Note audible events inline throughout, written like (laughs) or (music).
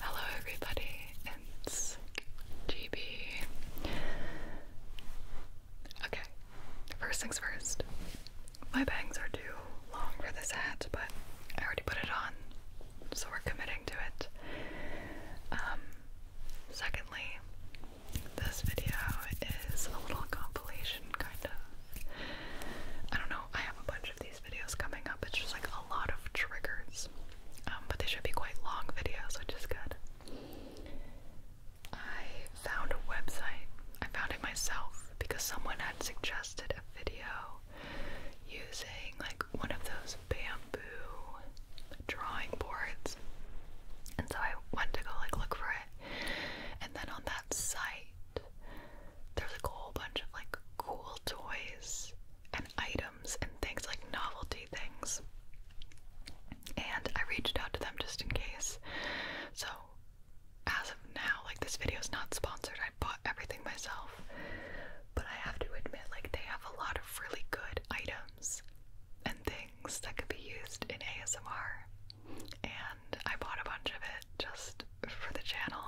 Hello, everybody, it's GB. Okay, first things first. My bangs are too long for this hat, but I already put it on, so we're committing to it. Um, secondly, this video is a little compilation, kind of. I don't know, I have a bunch of these videos coming up. It's just like a lot of triggers. Um, but they should be quite long videos, which is good. I found a website. I found it myself because someone had suggested a video using like one of those bamboo drawing boards. And so I went to go like look for it. And then on that site there's like a whole bunch of like cool toys and items and things like novelty things. And I reached out to them just in case. So as of now, like this video is not sponsored. I bought everything myself. But I have to admit, like they have a lot of really good items and things that could be used in ASMR. And I bought a bunch of it just for the channel,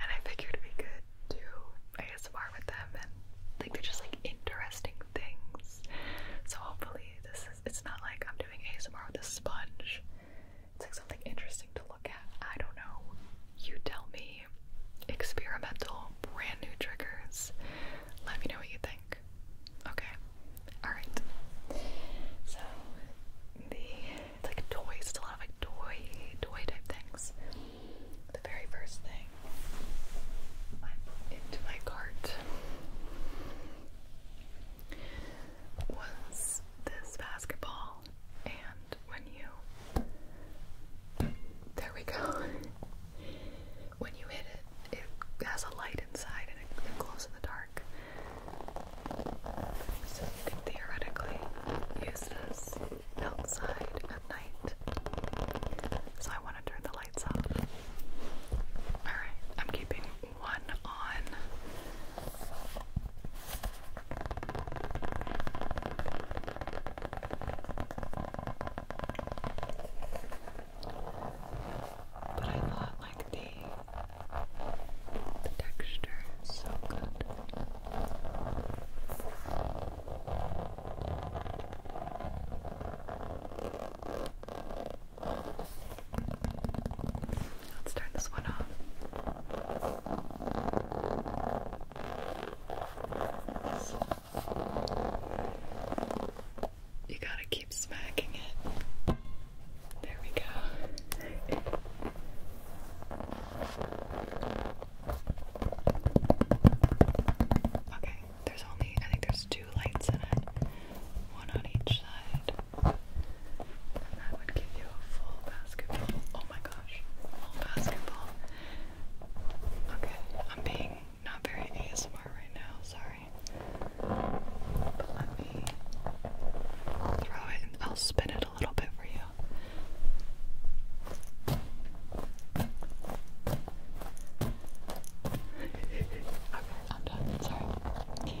and I figured we could do ASMR with them, and like they're just like interesting things. So hopefully this is. It's not like I'm doing ASMR with a sponge. It's like something interesting to look at. I don't know. You tell me. Experimental, brand new triggers. Let me know what you think. Okay. Alright. So the it's like toys. It's a lot of like toy, toy type things. The very first thing I put into my cart was this basketball, and when you, there we go. (laughs) when you hit it, it has a light inside and it glows in the dark. So you can theoretically use this outside at night. So I want to turn the lights off. Alright, I'm keeping one on. But I thought like the the texture is so good. Let's turn this one off. You gotta keep smacking it. There we go. Okay, there's only, I think there's two lights in it, one on each side. that would give you a full basketball. Oh my gosh, full basketball. Okay, I'm being not very ASMR right now, sorry. But let me throw it I'll spin it it a little bit for you. okay, I'm done. Sorry. Okay.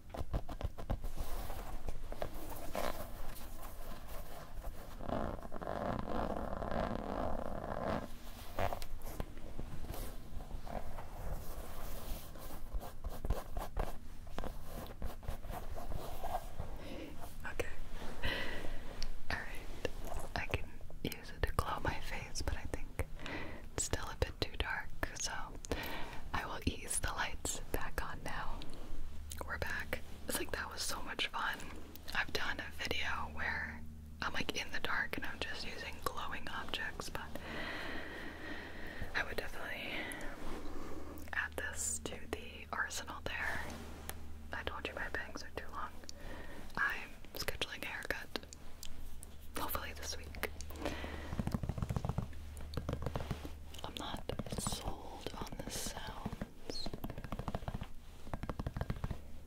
Okay. Alright. I can use it to glow my face, but I think it's still a bit too dark, so I will ease the lights back on now we're back. It's like that was so much fun. I've done a video where I'm like in the dark and I'm just using glowing objects, but I would definitely add this to the arsenal there. I told you my bangs are too long. I'm scheduling a haircut. Hopefully this week. I'm not sold on the sounds,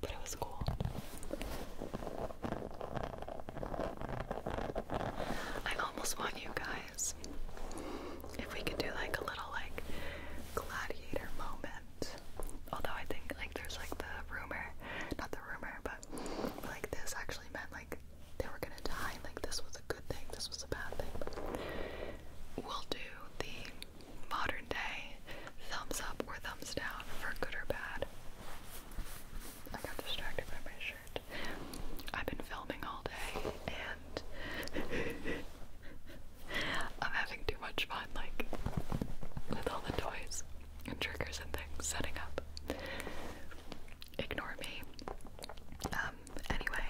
but it was cool. I almost want you guys, if we could do like a little like gladiator moment. Although I think like there's like the rumor, not the rumor, but like this actually meant like they were gonna die. Like this was a good thing, this was a bad thing. We'll do the modern day thumbs up or thumbs down for good or bad. I got distracted by my shirt. I've been filming all day and (laughs) I'm having too much fun, like with all the toys and triggers and things setting up. Ignore me. Uh, um, anyway,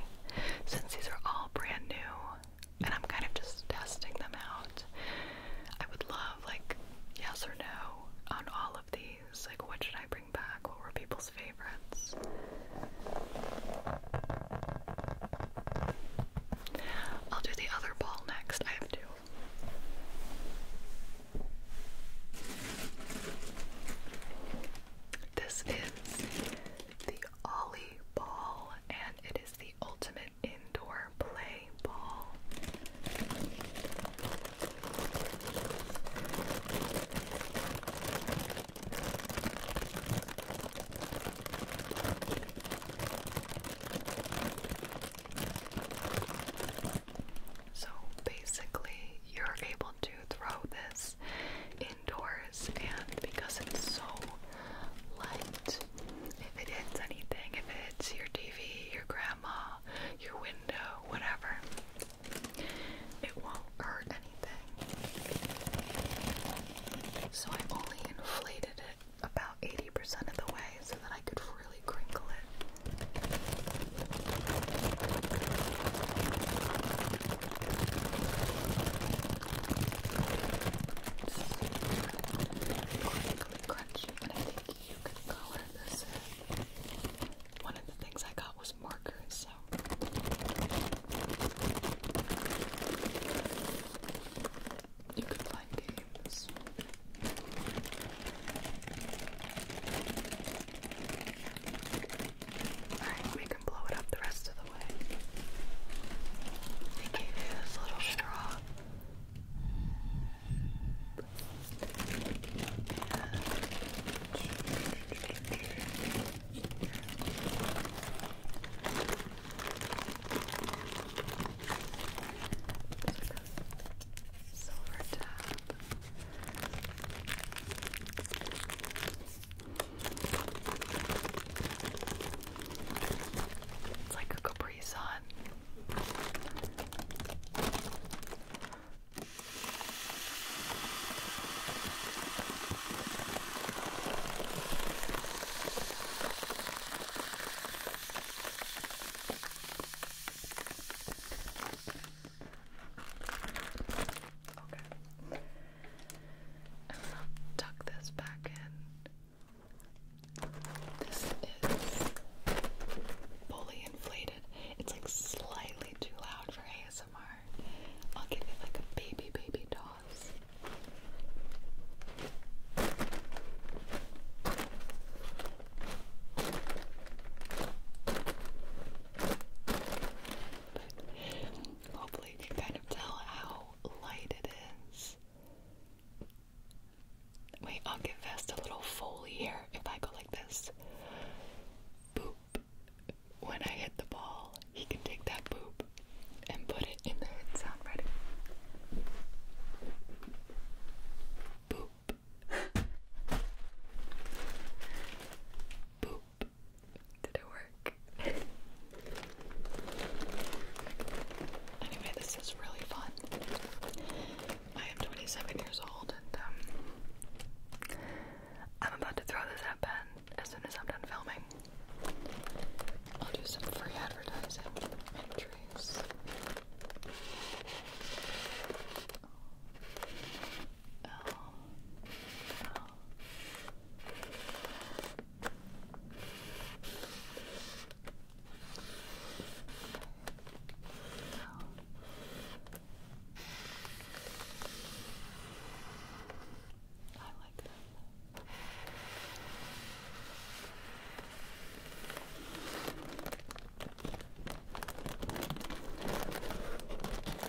since these are all brand new and I'm kind of just testing them out, I would love like yes or no on all of these. Like what should I bring back? What were people's favorites? I'll do the other ball next. I have two. This is the Ollie Ball, and it is the ultimate indoor play ball. So basically, you're able to throw this indoors and because it's so light, if it hits anything, if it hits your TV, your grandma, your window, whatever, it won't hurt anything. So I only inflated it about 80% of the way so that I could really crinkle it crinkly crunchy, and I think you can color this One of the things I got was markers, so. You can play games. Alright, we can blow it up the rest of the way. I gave you this little straw. Silver tap. It's like a Capri Sun. Okay. tuck this back in. This is fully inflated. It's like slightly too loud for ASMR. I'll give it like a baby, baby toss. Hopefully you can kind of tell how light it is. Wait, I'll give Vest a little foley here if I go like this. Boop. When I hit the ball, he can take that boop and put it in the hit sound. Ready? Boop. Boop. Did it work? anyway, this is really fun. I am 27 years old and um, I'm about to throw this at as soon as I'm done filming. I'll do some free advertising entries. Um, I like them. Okay.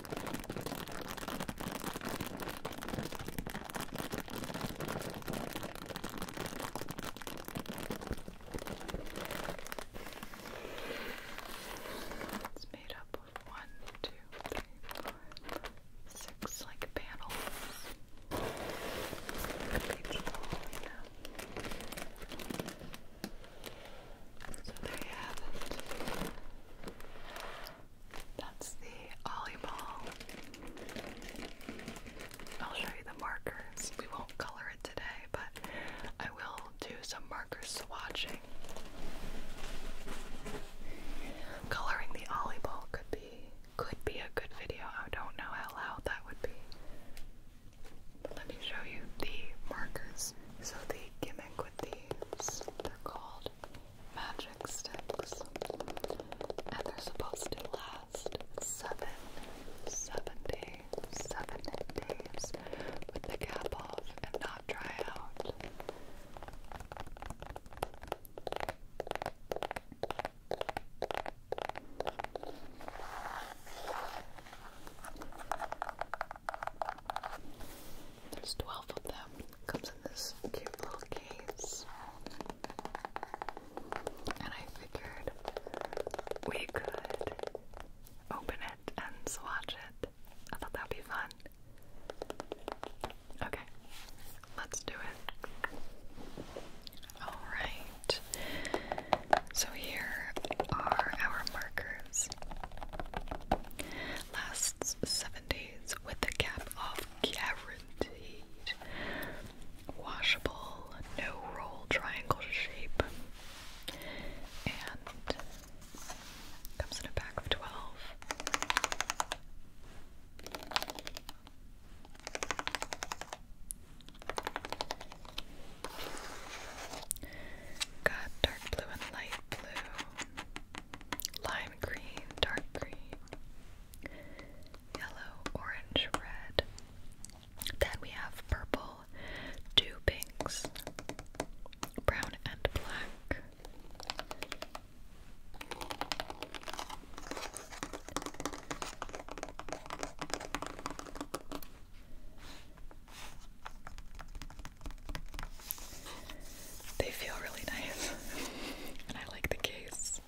It's made up of one, two, three, four, five, six like panels. Each wall, you know. So there you have it. That's the Ollie I'll show you the markers. We won't color it today, but I will do some marker swatching. Coloring the Ollie could be could be a good video. I don't know how loud that would be. let me show you the markers. So they gimmick with these. They're called magic sticks, and they're supposed to last seven, seven days, seven days with the cap off and not dry out. There's twelve of them. Comes in this cute little case. And I figured we could open it and swatch it. I thought that'd be fun. Okay, let's do it. Alright, so here are our markers. Lasts 70 with the cap of guaranteed. Washable, no roll, triangle shape. And comes in a pack of 12. Got dark blue and light blue lime green, dark green, yellow, orange, red. Then we have purple, two pinks, brown, and black. They feel really nice, (laughs) and I like the case.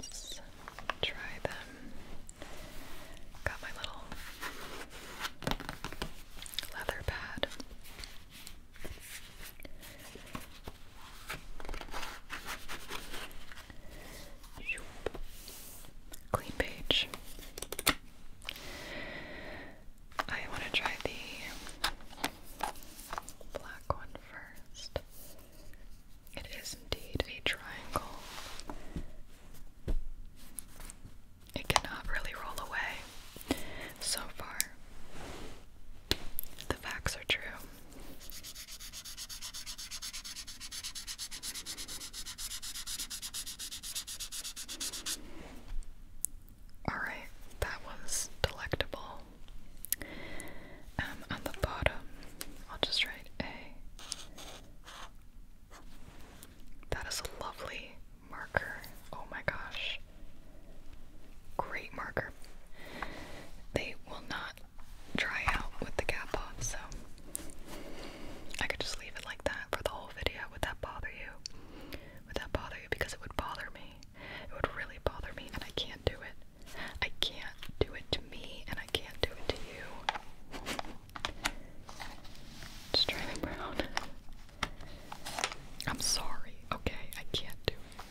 Let's try them. Got my little leather pad. Clean page. I want to try the black one first. It is indeed a triangle. It cannot really roll away so far. The facts are true. Alright, that was delectable. Um, on the bottom, I'll just write A. That is a lovely marker. Oh my gosh. Great marker. They will not dry out with the cap off, so I could just leave it like that for the whole video. Would that bother you? Would that bother you? Because it would bother me. It would really bother me, and I can't do it. I can't do it to me, and I can't do it to you. Just try them I'm sorry, okay? I can't do it.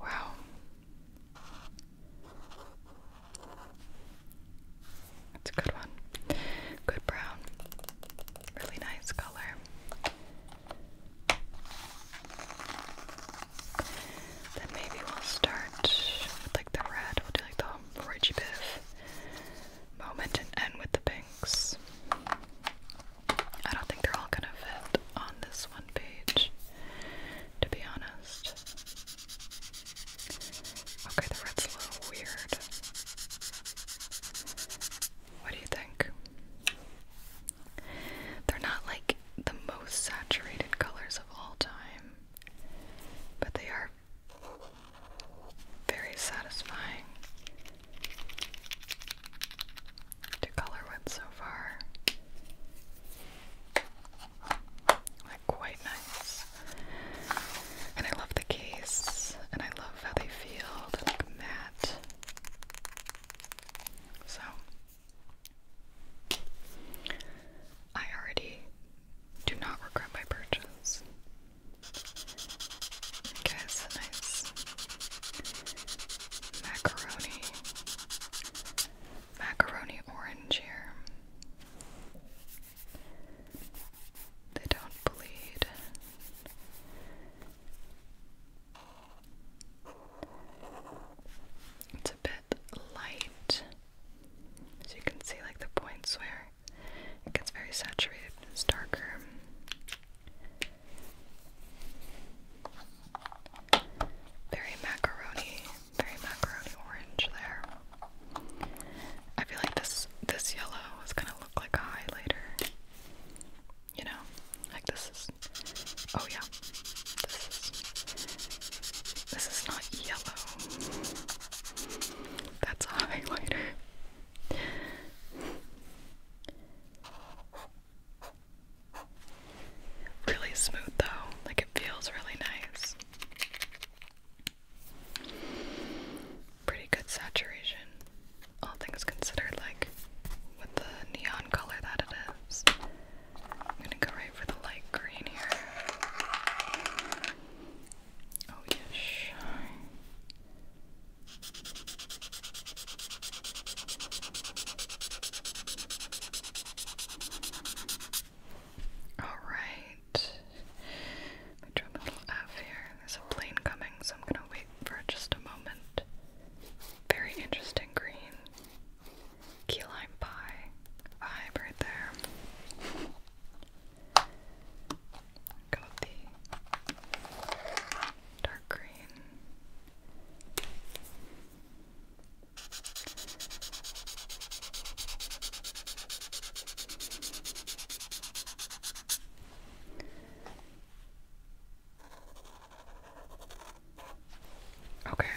Wow. That's a good one. Good brown. Really nice color. Then maybe we'll start with like the red. We'll do like the Roy Biff moment and end with the pinks. I don't think they're all gonna fit on this one page, to be honest. Okay, the red's a little weird. What do you think? They're not like the most saturated colors of all time, but they are very satisfying to color with so far. Like quite nice. And I love the case and I love how they feel. like matte. So I already do not regret my purchase. Okay, it's a nice macaroni, macaroni orange here. They don't bleed bit light. So you can see like the points where it gets very saturated it's darker. Very macaroni, very macaroni orange there. I feel like this this yellow is gonna look like a highlighter. You know? Like this is oh yeah, this is, not yellow. That's a highlighter. Really smooth though, like it feels really nice. Pretty good saturation, all things considered, like with the neon color that it is. I'm gonna go right for the light green here. Oh, yeah, Alright. Let me a little F here. There's a plane coming, so I'm gonna wait for just a moment. Very interesting green key lime pie vibe right there. Got the dark green. Okay,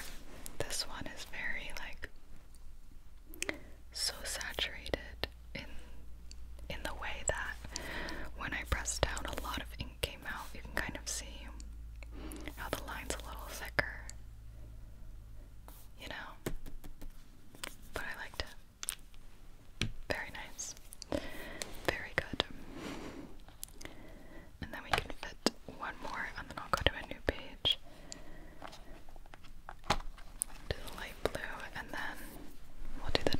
this one is very like so saturated in in the way that when I pressed down a lot of ink came out. You can kind of see how the line's a little thicker. You know? But I liked it. Very nice. Very good. And then we can fit one more, and then I'll go to a new page. Do the light blue, and then we'll do the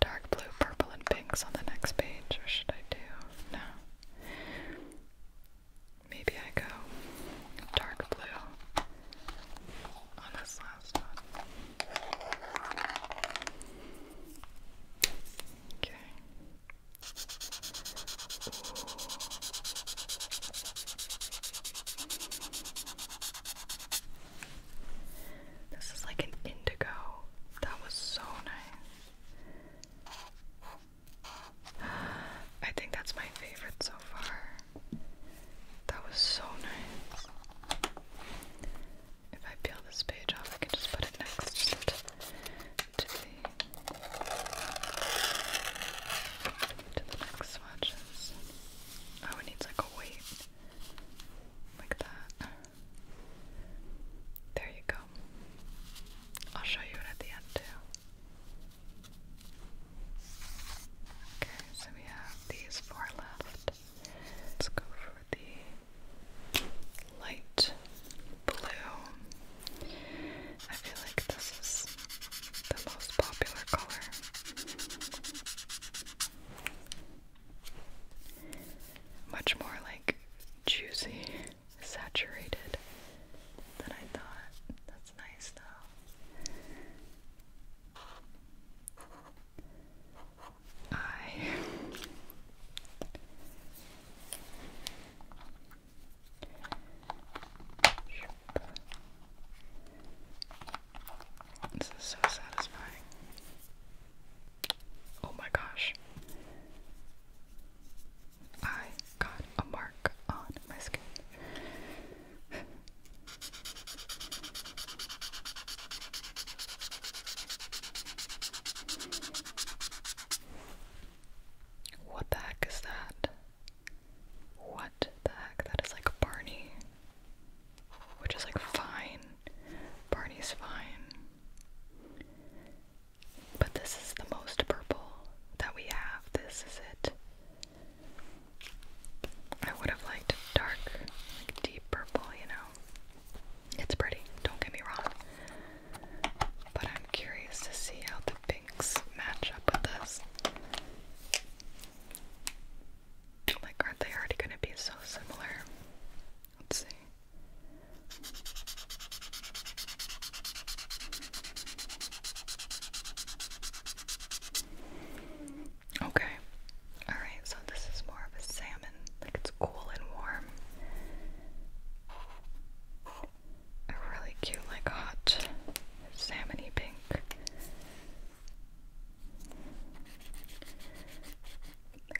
dark blue, purple, and pinks on the next page. Or should I do? No. Maybe I go dark blue on this last one. Okay. This is like an indigo. That was so nice. I think that's my favorite so far. That was so nice. If I peel this page off, I can just put it next actively to the next swatches. Oh, it needs like a weight. Like that. There you go. I'll show you it at the end too. Okay, so we have these four left. Let's go for the light blue. I feel like this is the most popular color. Much more like juicy, saturated than I thought. That's nice though. I this is so satisfying. Oh my gosh. I got a mark on my skin. What the heck is that? What the heck? That is like Barney. Which is like fine. Barney's fine. But this is the most purple that we have. This is it. I would have liked dark, like deep purple, you know. It's pretty, don't get me wrong. But I'm curious to see how the pinks match up with this. Like, aren't they already going to be so similar? Let's see. Okay. Alright, so this is more of a salmon. Like, it's cool and warm a really cute, like hot salmony pink.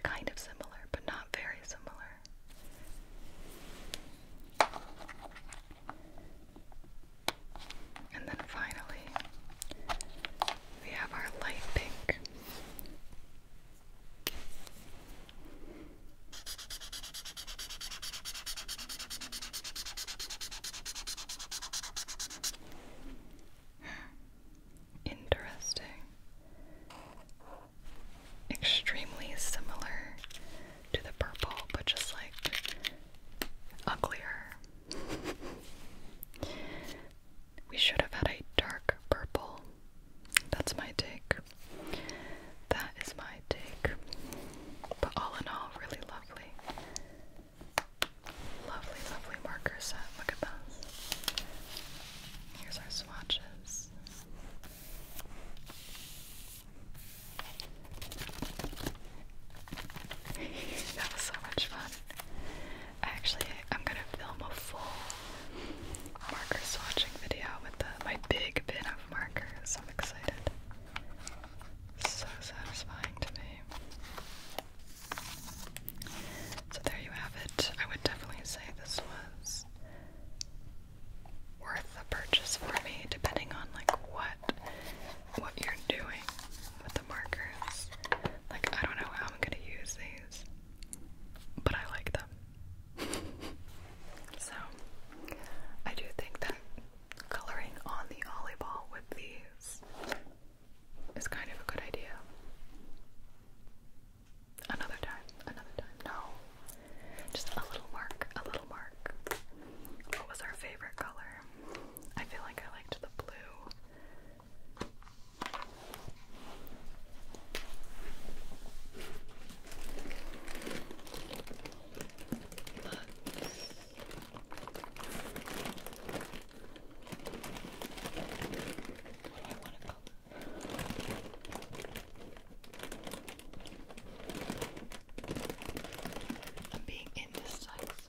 Kind of similar, but not very similar. And then finally, we have our light pink. (sighs) Interesting. Extremely similar to the purple, but just like uglier. (laughs) we should have had a dark purple that's my take. That is my take. But all in all, really lovely. Lovely, lovely marker set. Look at those. Here's our swatches. (laughs) that was so much fun. Actually, I'm gonna film a full marker swatching video with my big bin of markers. I'm excited. So satisfying to me. So there you have it. I would definitely say this was worth the purchase for me, depending on like what what you're doing with the markers. Like I don't know how I'm gonna use these, but I like them. (laughs) so, I do think that coloring on the ball with these is kind of a good idea. Another time, another time. No, just a little mark, a little mark. What was our favorite color? I feel like I liked the blue. Where do I want to go? I'm being indecisive.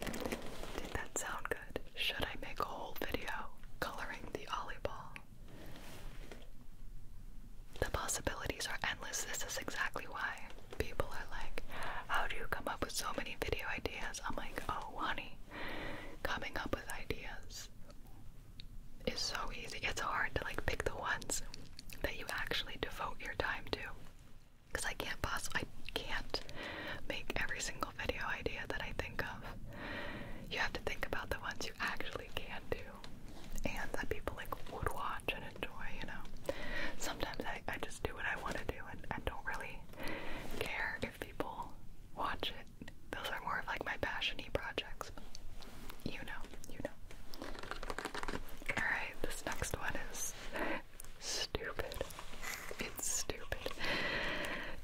Did that sound good? Should I make a whole video coloring the ball? The possibilities are endless. This is exactly why people are like, How do you come up with so many video ideas? I'm like, Oh, honey, coming up with ideas is so easy. It's hard to like pick the ones that you actually devote your time to because I can't possibly, I can't make every single video idea that I think of. You have to think about the ones you actually can do, and that people like would watch and enjoy. You know, sometimes I, I just do what I want to do and I don't really care if people watch it. Those are more of like my passiony projects. you know, you know. Alright, this next one is stupid. It's stupid.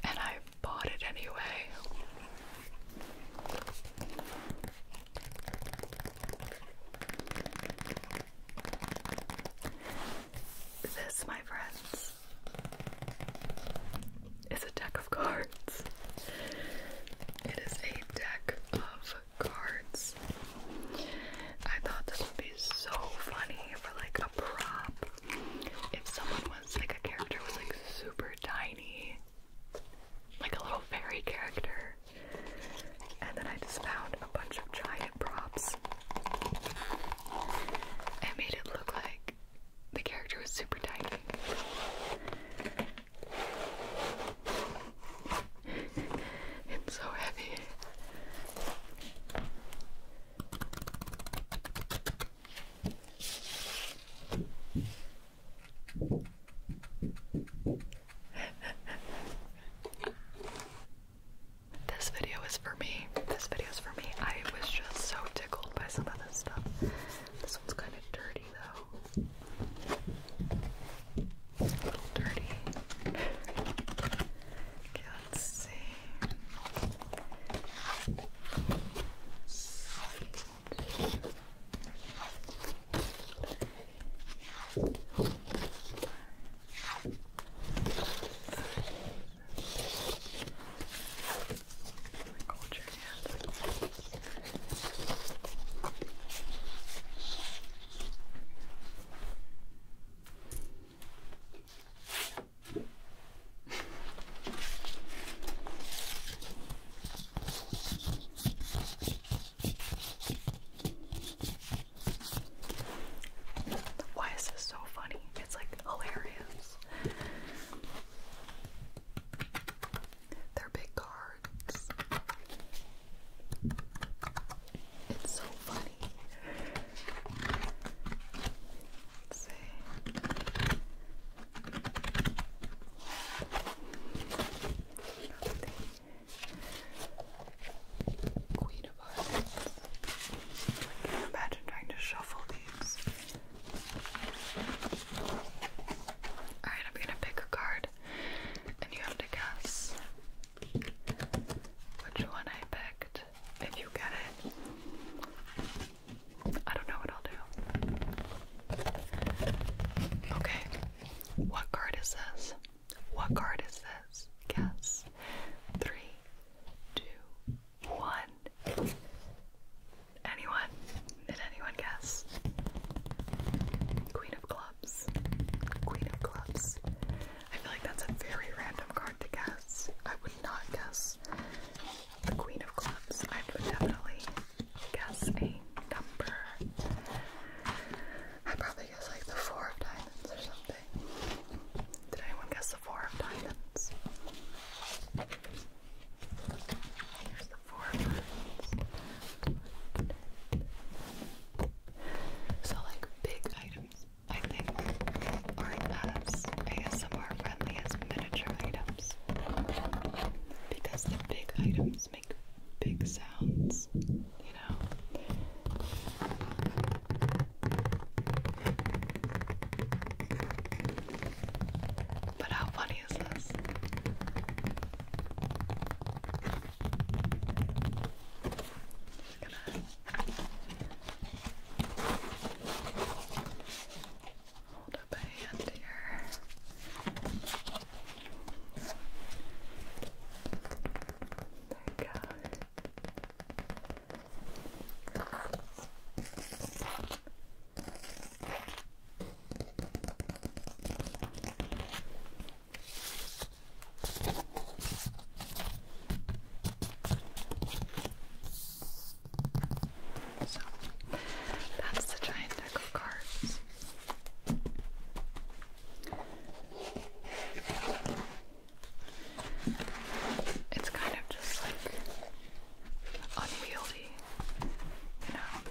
And I bought it anyway. This, my friends, is a deck of cards. It is a deck of cards. I thought this would be so funny for like a prop. If someone was like a character was like super tiny, like a little fairy character. And then I just found a bunch of giant props. I made it look like the character was super tiny it's so heavy. this video is for me. This video is for me. I was just so tickled by some of this stuff. This one's kind of dirty though. A little dirty. okay, let's see. Culture, yeah. Why is this so funny? It's like hilarious. They're big cars. It's so funny. let Queen of Hearts. can't imagine trying to shuffle these. Alright, I'm gonna pick a card and you have to guess which one I picked. If you get it, I don't know what I'll do. Okay, what card is this? What card is this? Guess. Three, two, one. Anyone? Did anyone guess? Queen of Clubs. Queen of Clubs. I feel like that's a very random card to guess. I would not guess the Queen of Clubs. I would definitely guess a number. I probably guess like the Four of Diamonds or something. Did anyone guess the Four of Diamonds? Here's the Four of Diamonds. So like big items, I think, are as ASMR friendly as miniature items. Because the big items make big sounds, you know. But how funny is this? Just gonna hold up a hand here. There you go. So that's the giant deck of cards. It's kind of just like unwieldy, you know.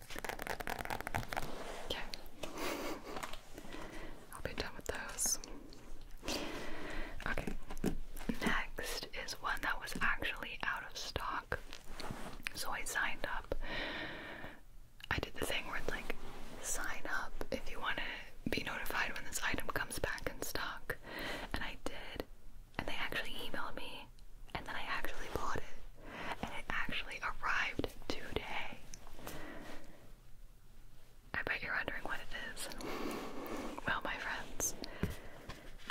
Okay. (laughs) I'll be done with those. Okay. Next is one that was actually out of stock. So I signed up. I did the thing where it's like, sign up if you want to be notified when this item comes back in stock. And I did. And they actually emailed me and then I actually bought it, and it actually arrived today. I bet you're wondering what it is. Well, my friends,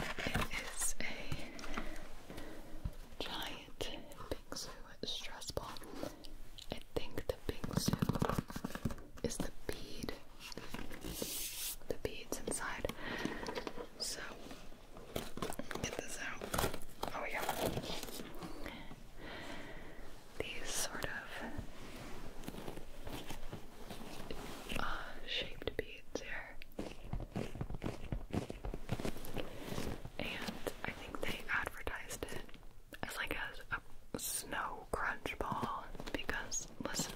it is a giant bingsu stress ball. I think the bingsu is the bead, the beads inside. So get this out. Oh yeah. These sort of uh, shaped beads here. And I think they advertised it as like a snow crunch ball because, listen.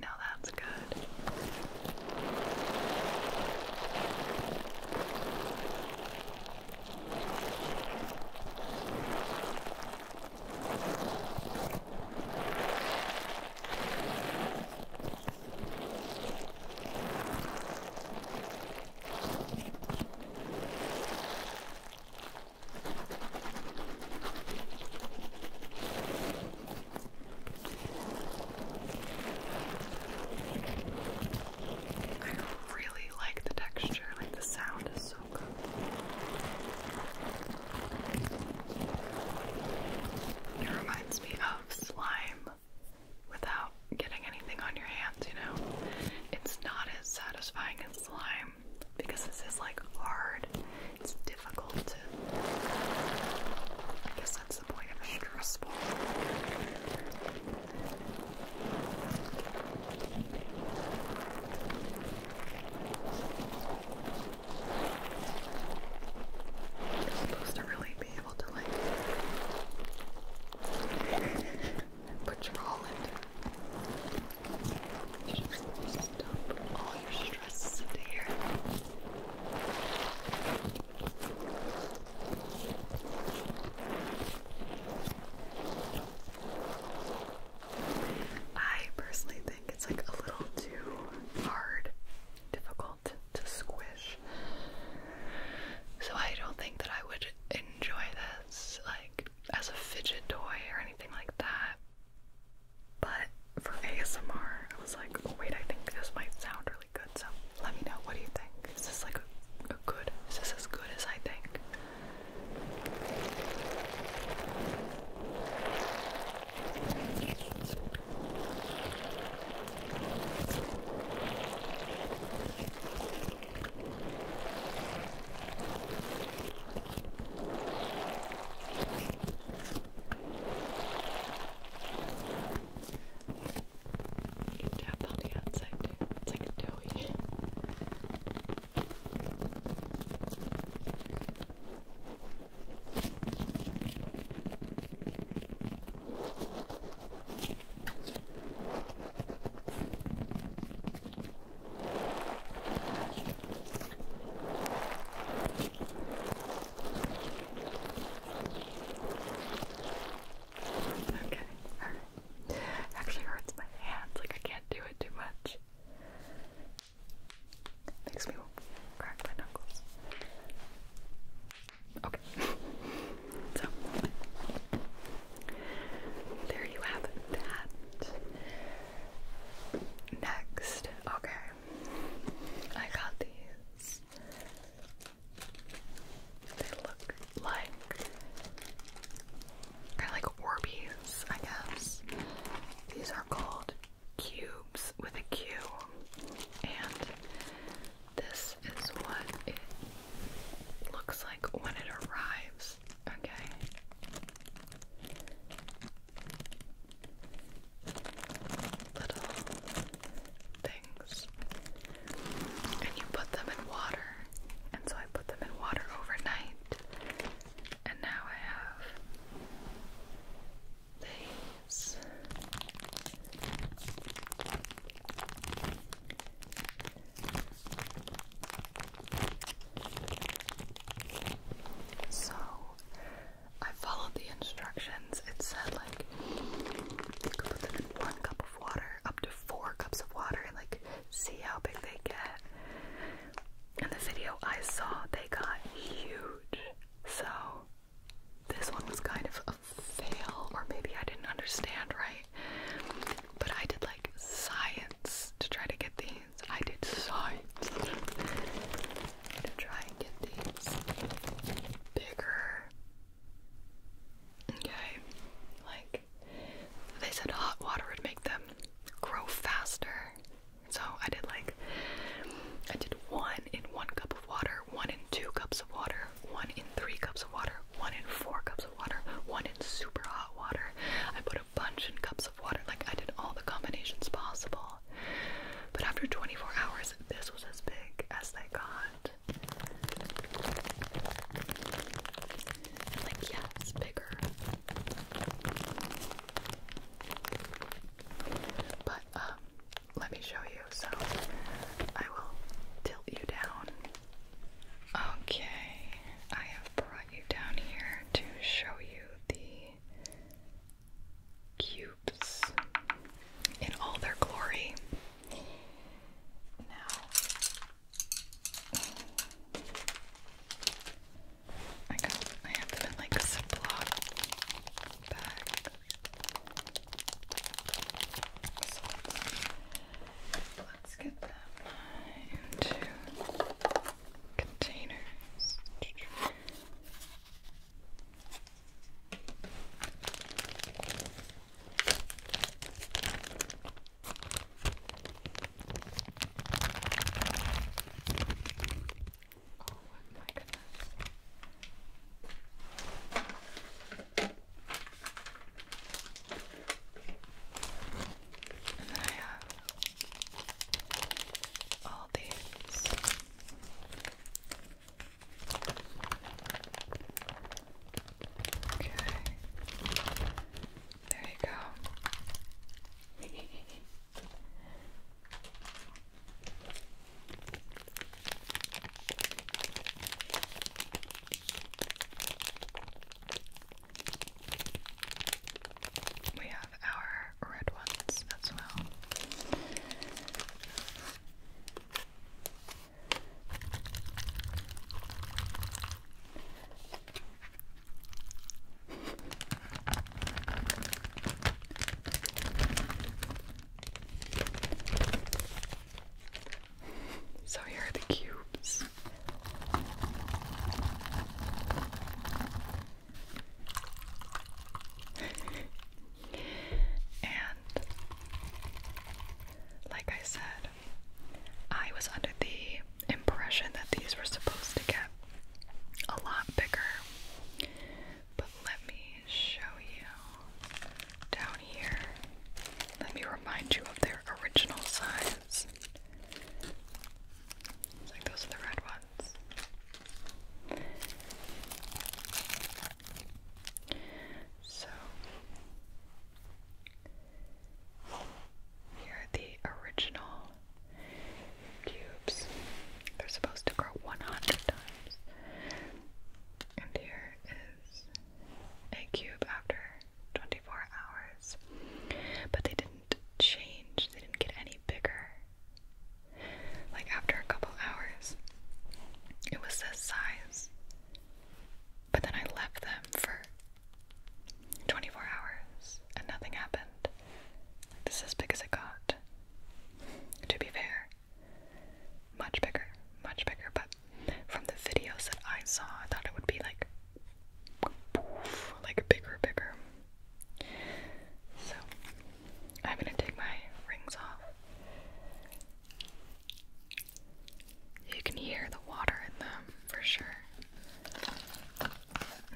Now that's good. I really like the texture, like the sound is so good. It reminds me of slime without getting anything on your hands, you know? It's not as satisfying as slime, because this is like hard. It's difficult to. I guess that's the point of a stress You're supposed to really be able to like (laughs) put your all into I personally think it's like a little too hard, difficult to squish. So I don't think that I would enjoy this like as a fidget toy or anything like that. But for ASMR, I was like, oh wait, I think this might sound really good. So let me know. What do you think? Is this like good? Is this as good as I think? You tap on the outside too. It's like a doughy. Okay, alright. actually hurts my hands, like I can't do it too much. Makes me crack my knuckles. Okay. (laughs) so there you have That Next, okay, I got these. They look like kind of like Orbeez, I guess. These are called cubes with a Q, and this is what it looks like when it arrives. Okay, little things and you put them in water. And so I put them in water overnight. And now I have these. So I followed the instructions. It said like you could put them in one cup of water, up to four cups of water, and like see how big they get. In the video I saw, they got huge. So this one was kind of a fail, or maybe I didn't understand right. But I did like science to try to get these. I did science. to try and get these bigger. Okay, like they said, hot water would make them grow faster. So I did like I did one in one cup of water, one in two cups of water, one in three cups of water, one in four cups of water, one in super hot water. I put bunch in cups of water. Like, I did all the combinations possible. But after 24 hours, this was as big as they got. like, yeah, bigger. But, um, let me show you. So, I will tilt you down. Okay, I have brought you down here to show you the cubes in all their glory. Now, I have them in like a Ziploc bag. let's get them into containers. Oh my goodness. And then I have all these. Okay. There you go. We have our red ones as well. So here are the cubes and like I said, I was under the impression that these were supposed to get a lot bigger. But let me show you down here. Let me remind you of their original size. It's like those are the red ones. So here are the original cubes. They're supposed to grow 100 times. And here is a cube after 24 hours. But they didn't change, they didn't get any bigger. Like after a couple hours, it was this size. But then I left them for 24 hours and nothing happened. Like this is as big as it got. To be fair, much bigger, much bigger. But from the videos that I saw, I thought it would be like like bigger, bigger. So I'm gonna take my rings off. You can hear the water in them for sure.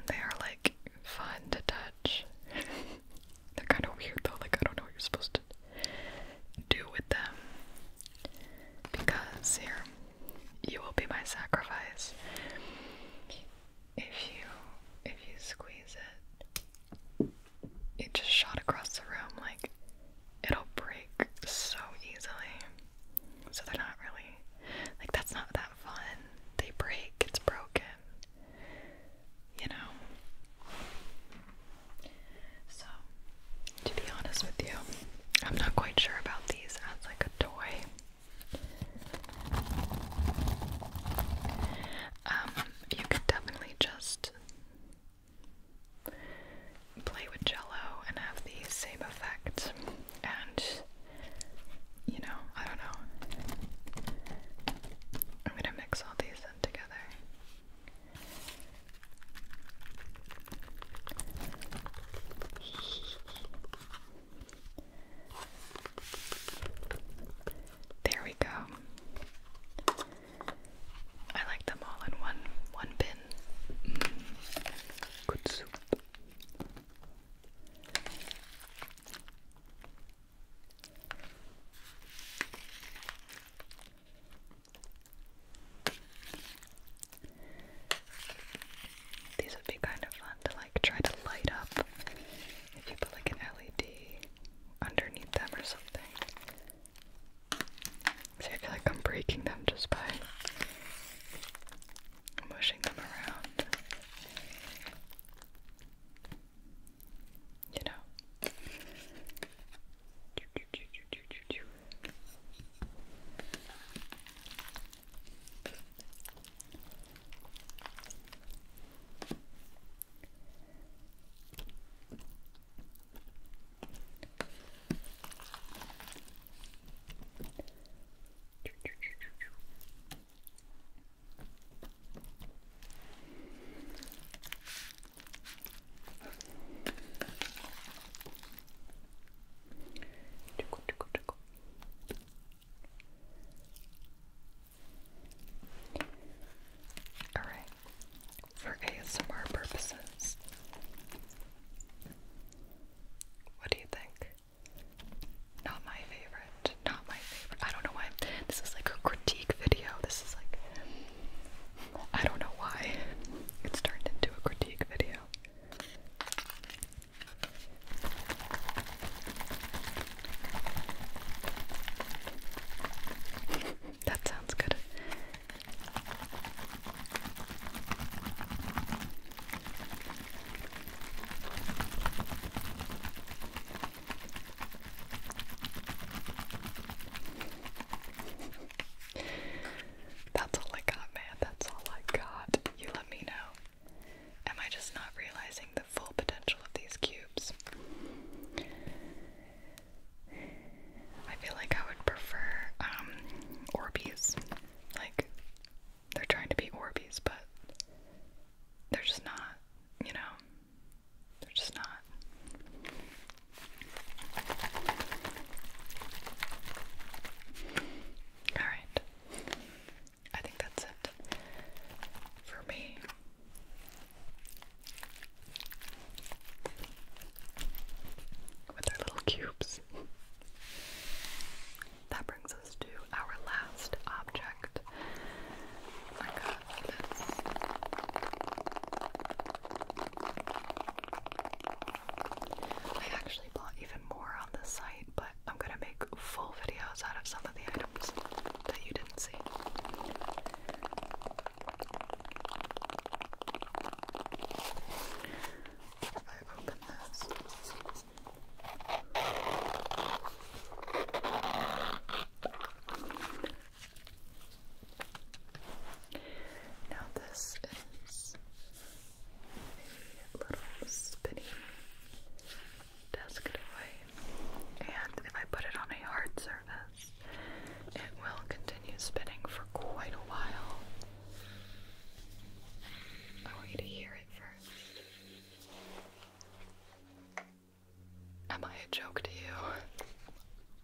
They are like fun to touch. (laughs) They're kind of weird though, like I don't know what you're supposed to do with them. Because here, you will be my sacrifice. If you if you squeeze it, it just shot across the room like it'll break so easily. So they're not really like that's not that fun. They break, it's broken. You know. So, to be honest with you, I'm not quite sure about these as like a toy. Um, you could definitely just play with jello and have the same effect, and you know, I don't know. I'm gonna mix all these in together. There we go. I like them all in one one bin. Mm. These would be kind of fun to like try to light up if you put like an LED underneath them or something. See, I feel like I'm breaking them just by mushing them around. You know. ちょこちょこちょこ。Alright, for ASMR purposes, what do you think? Not my favorite, not my favorite. I don't know why. This is like a critique video. This is like. I don't know why (laughs) it's turned into a critique video. That sounds good. That's all I got, man. That's all I got. You let me know Am I just not realizing the full potential of these cubes? I feel like I would prefer um, Orbeez. Like, they're trying to be Orbeez, but they're just not, you know? They're just not. Alright. I think that's it for me. With our little cubes. That brings us to our last object. I got I actually bought even more on this site, but I'm gonna make full videos out of some of the items that you didn't see. If I open this. Now, this is the little spinny desk toy. And if I put it on a hard surface, it will continue spinning for quite a while. I want you to hear it first. Am I a joke to you?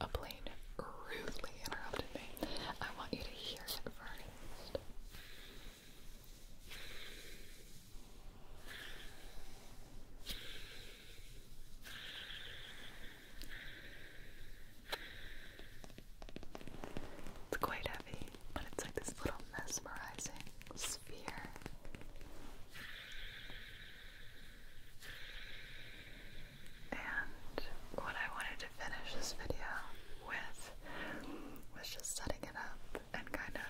A plane rudely interrupted me. I want you to hear it first. It's quite heavy, but it's like this little mesmerizing sphere. And what I wanted to finish this video was just setting it up and kind of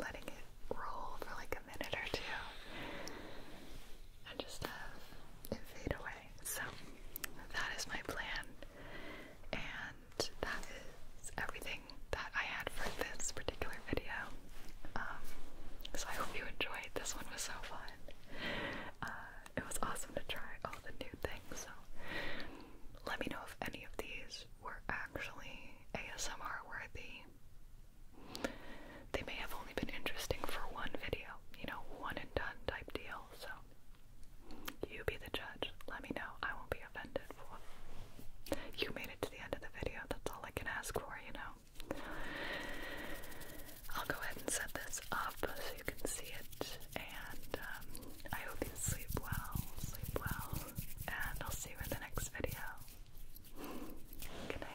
letting it roll for like a minute or two and just have it fade away. So that is my plan, and that is everything that I had for this particular video. Um, so I hope you enjoyed. This one was so fun. Uh, it was awesome to try all the new things. So let me know if any of these were actually ASMR worthy. They may have only been interesting for one video, you know, one and done type deal, so you be the judge. Let me know. I won't be offended for you made it to the end of the video. That's all I can ask for, you know. I'll go ahead and set this up you can see it. And um, I hope you sleep well, sleep well, and I'll see you in the next video. Good night.